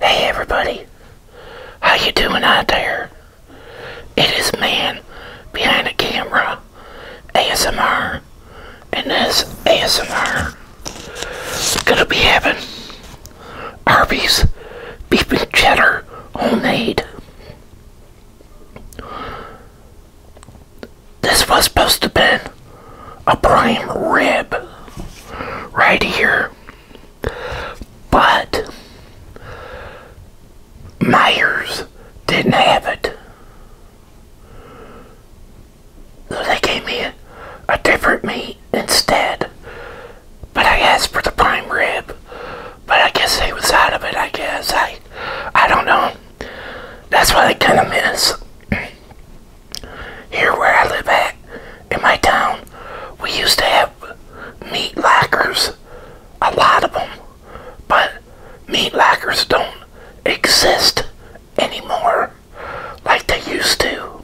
Hey everybody, how you doing out there? It is man behind the camera, ASMR, and this ASMR gonna be having Arby's beef and cheddar homemade. This was supposed to been a prime rib right here. But Myers didn't have it. they gave me a, a different meat instead. But I asked for the prime rib. But I guess they was out of it, I guess. I I don't know. That's what I kind of miss. Here where I live at, in my town, we used to have meat lockers. A lot of them. But meat lockers don't exist anymore like they used to.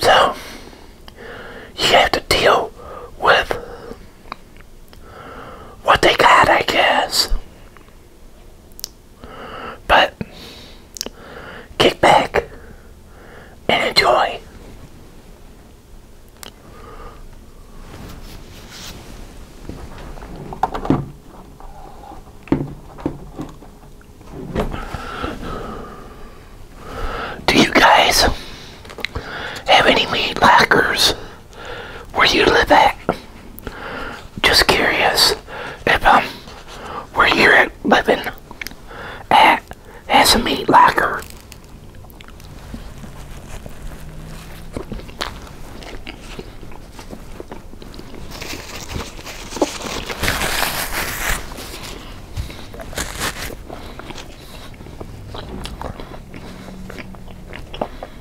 So, you have to deal with what they got, I guess. But kick back and enjoy. Do you guys have any meat lockers where you live at? Just curious if um where you're at living at has a meat locker.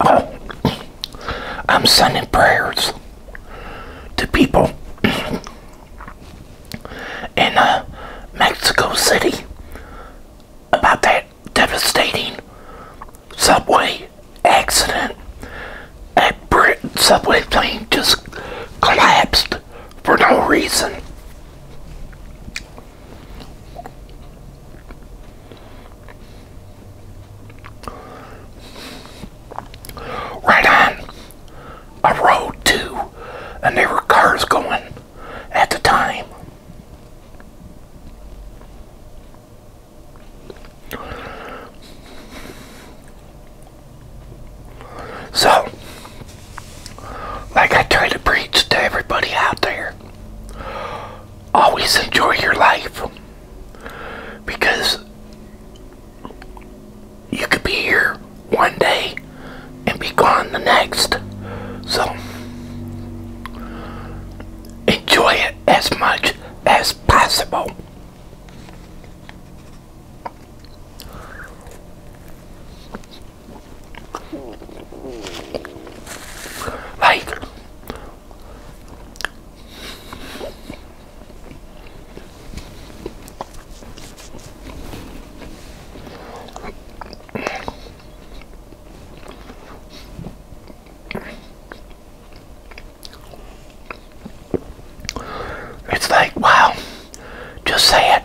Oh, I'm sending prayers to people in uh, Mexico City about that devastating subway accident. A Brit subway plane just collapsed for no reason. Right on a road too, and there were cars going at the time. So, like I try to preach to everybody out there, always enjoy your life because you could be here one day and be gone the next. So, enjoy it as much as possible. Like, it's like, wow, just say it.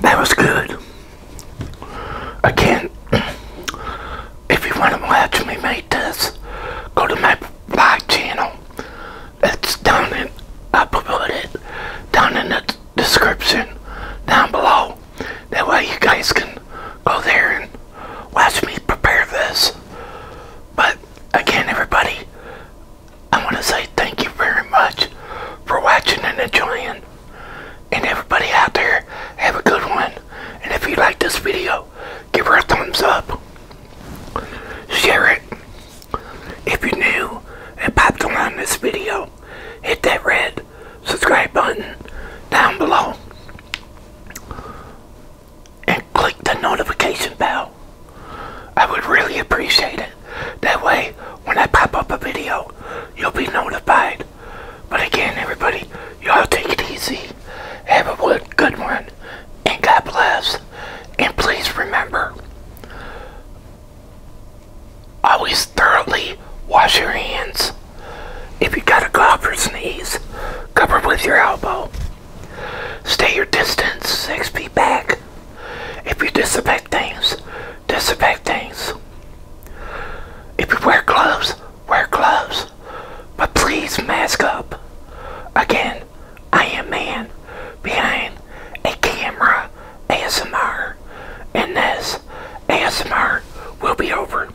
That was good. Again, if you want to watch me make this, go to my vlog channel. It's down in, I put it down in the description down below. That way you guys can go there and watch me prepare this. But again, everybody, I want to say thank you very much for watching and enjoying. And everybody out there, have a good one. And if you like this video, give her a thumbs up. Share it. If you're new and popped along this video, hit that red subscribe button down below and click the notification bell. I would really appreciate it. That way, when I pop up a video, you'll be notified. But again, everybody, y'all take it easy. Have a good one, and God bless. And please remember, always thoroughly wash your hands. If you got a cough or sneeze, cover with your elbow. Stay your distance, six feet back. If you disinfect things, disinfect things. If you wear gloves, wear gloves. But please mask up. Again, I am man behind a camera ASMR. And this ASMR will be over.